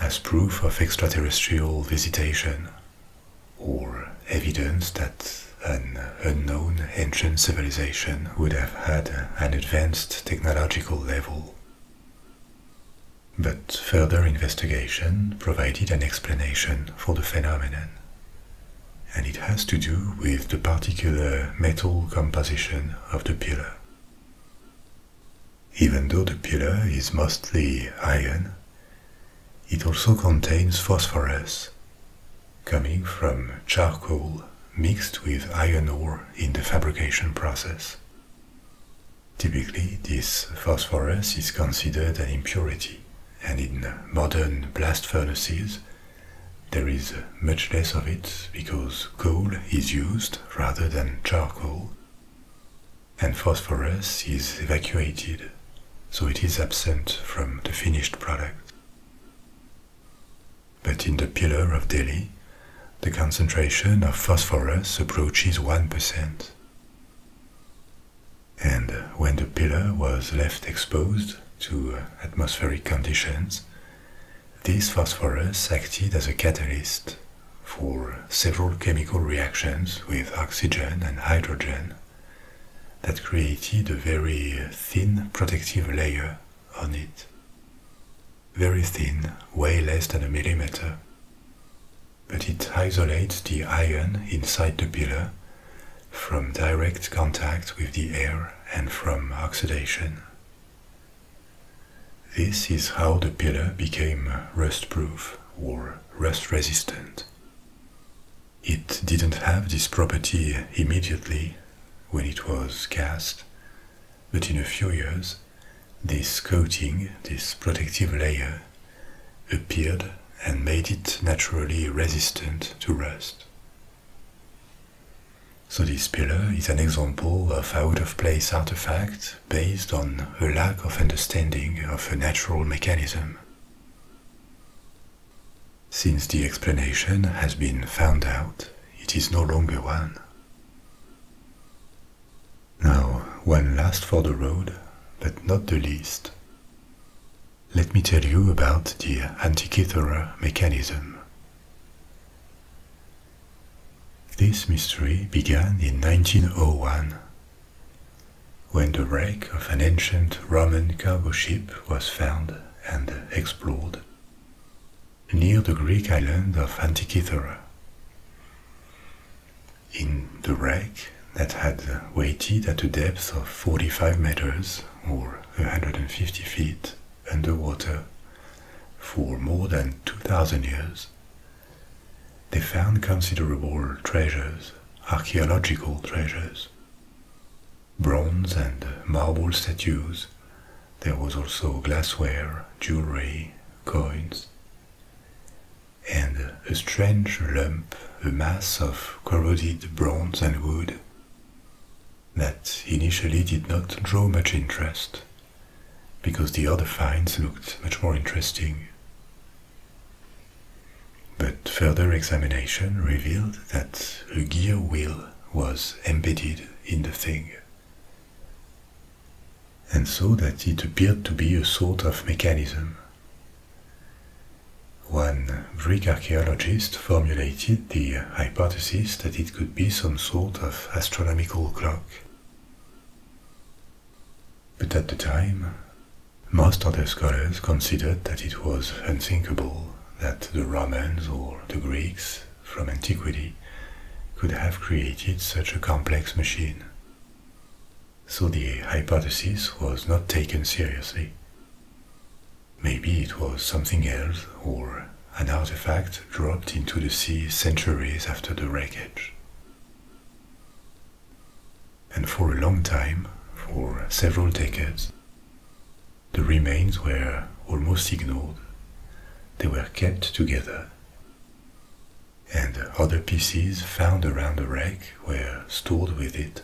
as proof of extraterrestrial visitation or evidence that an unknown ancient civilization would have had an advanced technological level. But further investigation provided an explanation for the phenomenon, and it has to do with the particular metal composition of the pillar. Even though the pillar is mostly iron, it also contains phosphorus, coming from charcoal mixed with iron ore in the fabrication process. Typically, this phosphorus is considered an impurity, and in modern blast furnaces, there is much less of it because coal is used rather than charcoal and phosphorus is evacuated, so it is absent from the finished product. But in the pillar of Delhi, the concentration of phosphorus approaches 1%. And when the pillar was left exposed to atmospheric conditions, this phosphorus acted as a catalyst for several chemical reactions with oxygen and hydrogen that created a very thin protective layer on it. Very thin, way less than a millimeter. But it isolates the iron inside the pillar from direct contact with the air and from oxidation. This is how the pillar became rust proof or rust resistant. It didn't have this property immediately when it was cast, but in a few years, this coating, this protective layer, appeared and made it naturally resistant to rust. So this pillar is an example of out-of-place artifact based on a lack of understanding of a natural mechanism. Since the explanation has been found out, it is no longer one. Now, one last for the road, but not the least. Let me tell you about the Antikythera mechanism. This mystery began in 1901 when the wreck of an ancient Roman cargo ship was found and explored near the Greek island of Antikythera. In the wreck that had waited at a depth of 45 meters or 150 feet underwater for more than 2,000 years, they found considerable treasures archaeological treasures. Bronze and marble statues, there was also glassware, jewelry, coins, and a strange lump, a mass of corroded bronze and wood that initially did not draw much interest because the other finds looked much more interesting. But further examination revealed that a gear wheel was embedded in the thing, and so that it appeared to be a sort of mechanism. One Greek archaeologist formulated the hypothesis that it could be some sort of astronomical clock. But at the time, most other scholars considered that it was unthinkable that the Romans or the Greeks from antiquity could have created such a complex machine. So the hypothesis was not taken seriously. Maybe it was something else or an artifact dropped into the sea centuries after the wreckage and for a long time, for several decades, the remains were almost ignored. They were kept together, and other pieces found around the wreck were stored with it,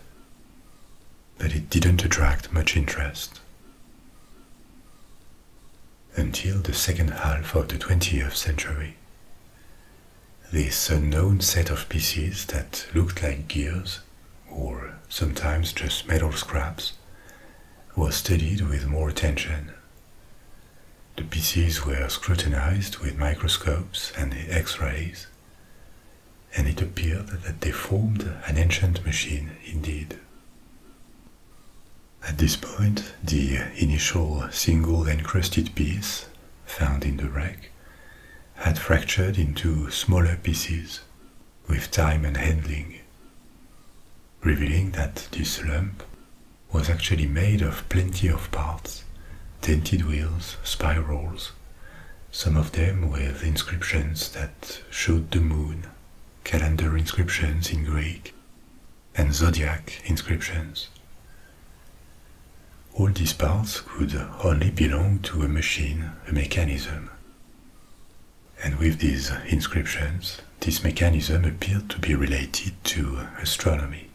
but it didn't attract much interest. Until the second half of the 20th century, this unknown set of pieces that looked like gears, or sometimes just metal scraps, was studied with more attention. The pieces were scrutinized with microscopes and x-rays, and it appeared that they formed an ancient machine indeed. At this point, the initial single encrusted piece found in the wreck had fractured into smaller pieces with time and handling, revealing that this lump was actually made of plenty of parts, dented wheels, spirals, some of them with inscriptions that showed the moon, calendar inscriptions in Greek, and zodiac inscriptions, all these parts could only belong to a machine, a mechanism. And with these inscriptions, this mechanism appeared to be related to astronomy.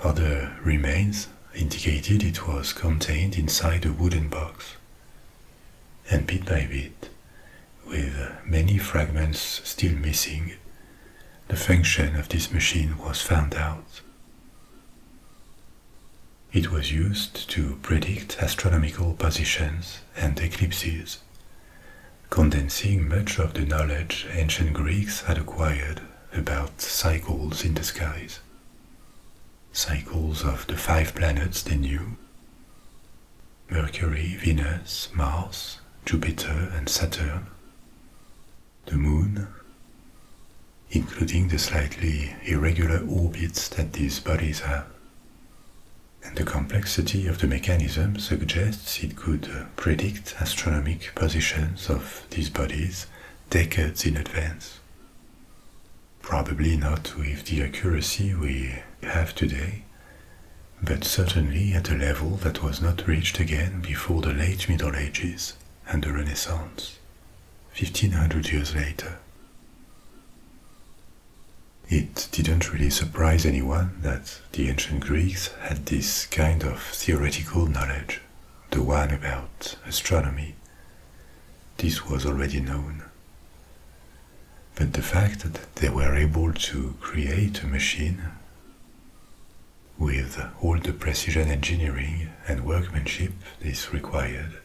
Other remains indicated it was contained inside a wooden box. And bit by bit, with many fragments still missing, the function of this machine was found out. It was used to predict astronomical positions and eclipses, condensing much of the knowledge ancient Greeks had acquired about cycles in the skies. Cycles of the five planets they knew Mercury, Venus, Mars, Jupiter, and Saturn, the Moon, including the slightly irregular orbits that these bodies have. And the complexity of the mechanism suggests it could uh, predict astronomic positions of these bodies decades in advance. Probably not with the accuracy we have today, but certainly at a level that was not reached again before the late Middle Ages and the Renaissance. 1500 years later. It didn't really surprise anyone that the ancient Greeks had this kind of theoretical knowledge, the one about astronomy. This was already known. But the fact that they were able to create a machine with all the precision engineering and workmanship this required,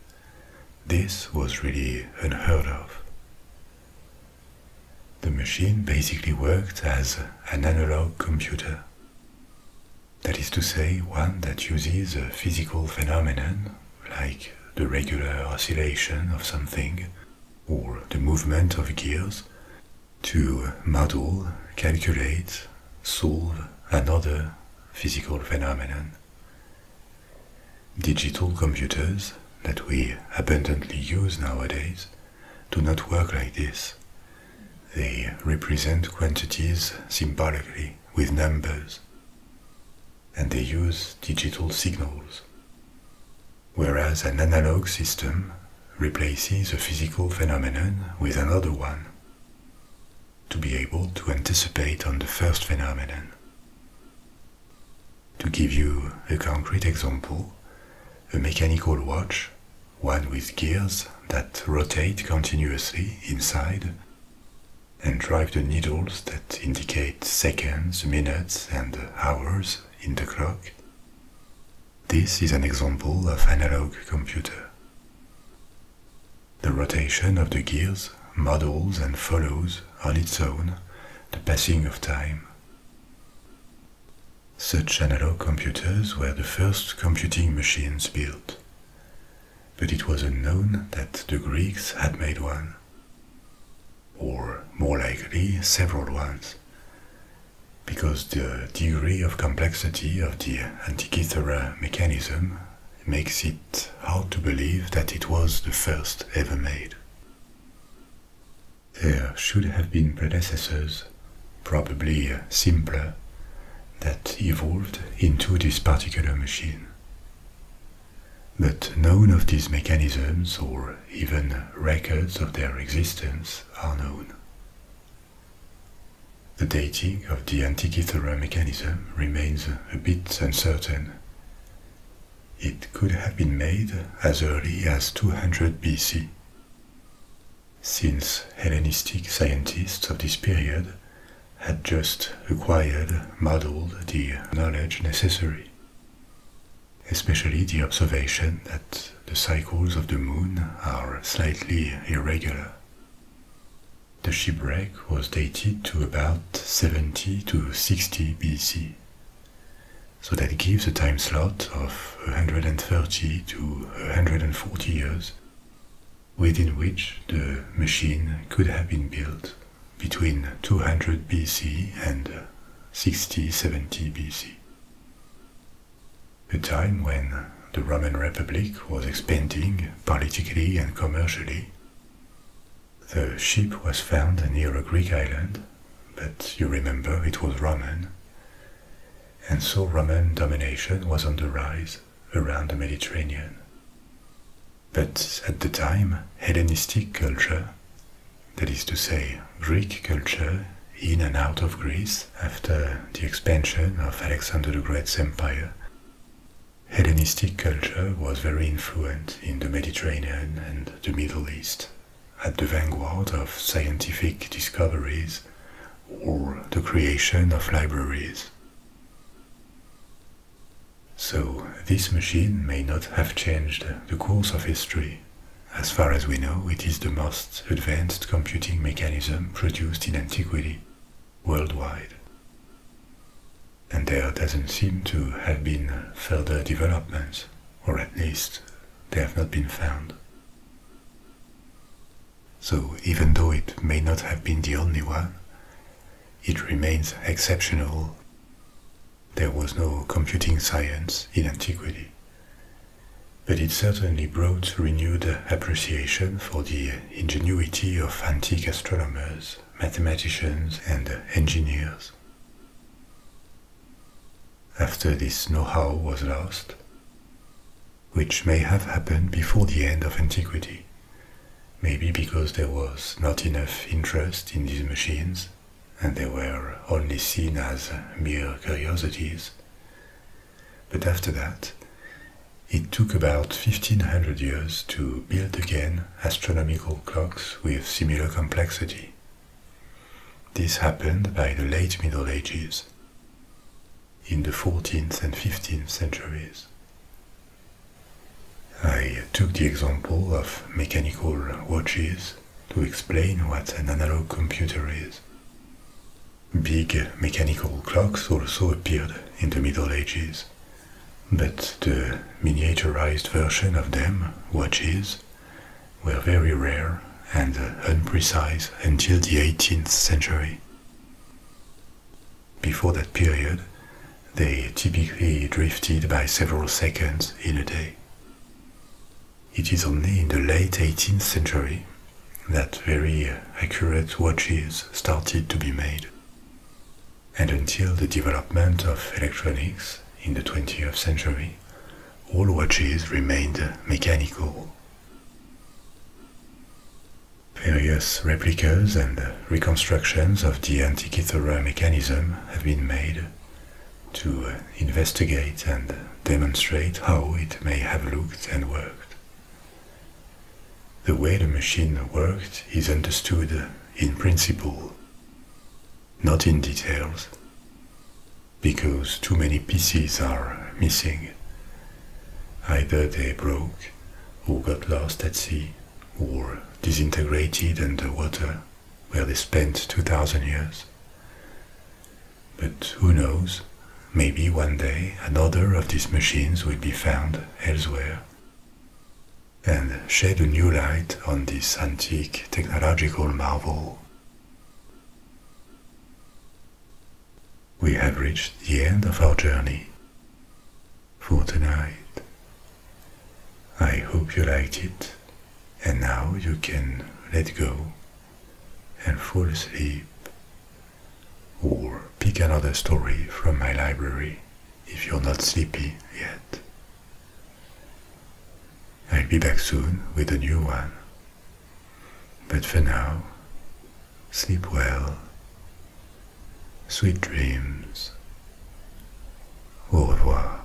this was really unheard of. The machine basically worked as an analog computer. That is to say, one that uses a physical phenomenon, like the regular oscillation of something, or the movement of gears, to model, calculate, Solve another physical phenomenon. Digital computers that we abundantly use nowadays do not work like this. They represent quantities symbolically with numbers, and they use digital signals. Whereas an analog system replaces a physical phenomenon with another one to be able to anticipate on the first phenomenon. To give you a concrete example, a mechanical watch, one with gears that rotate continuously inside and drive the needles that indicate seconds, minutes, and hours in the clock. This is an example of analog computer. The rotation of the gears models and follows on its own the passing of time. Such analog computers were the first computing machines built, but it was unknown that the Greeks had made one, or more likely several ones, because the degree of complexity of the Antikythera mechanism makes it hard to believe that it was the first ever made. There should have been predecessors, probably uh, simpler, that evolved into this particular machine. But none of these mechanisms or even records of their existence are known. The dating of the Antikythera mechanism remains a bit uncertain. It could have been made as early as 200 BC, since Hellenistic scientists of this period had just acquired, modeled the knowledge necessary, especially the observation that the cycles of the moon are slightly irregular. The shipwreck was dated to about 70 to 60 BC, so that gives a time slot of 130 to 140 years, within which the machine could have been built between 200 BC and sixty seventy BC. The time when the Roman Republic was expanding politically and commercially. The ship was found near a Greek island, but you remember it was Roman. And so Roman domination was on the rise around the Mediterranean. But at the time, Hellenistic culture, that is to say, Greek culture in and out of Greece, after the expansion of Alexander the Great's empire, Hellenistic culture was very influential in the Mediterranean and the Middle East, at the vanguard of scientific discoveries or the creation of libraries. So, this machine may not have changed the course of history. As far as we know, it is the most advanced computing mechanism produced in antiquity, worldwide. And there doesn't seem to have been further developments, or at least they have not been found. So even though it may not have been the only one, it remains exceptional. There was no computing science in antiquity but it certainly brought renewed appreciation for the ingenuity of antique astronomers, mathematicians, and engineers. After this know-how was lost, which may have happened before the end of antiquity, maybe because there was not enough interest in these machines and they were only seen as mere curiosities, but after that, it took about 1500 years to build again astronomical clocks with similar complexity. This happened by the late Middle Ages, in the 14th and 15th centuries. I took the example of mechanical watches to explain what an analog computer is. Big mechanical clocks also appeared in the Middle Ages, but the miniaturized version of them, watches, were very rare and unprecise until the 18th century. Before that period, they typically drifted by several seconds in a day. It is only in the late 18th century that very accurate watches started to be made. And until the development of electronics in the 20th century, all watches remained mechanical. Various replicas and reconstructions of the Antikythera mechanism have been made to investigate and demonstrate how it may have looked and worked. The way the machine worked is understood in principle, not in details, because too many pieces are missing. Either they broke, or got lost at sea, or disintegrated underwater, where they spent 2000 years. But who knows Maybe one day another of these machines will be found elsewhere and shed a new light on this antique technological marvel. We have reached the end of our journey for tonight. I hope you liked it, and now you can let go and fall asleep or pick another story from my library if you're not sleepy yet. I'll be back soon with a new one. But for now, sleep well, sweet dreams, au revoir.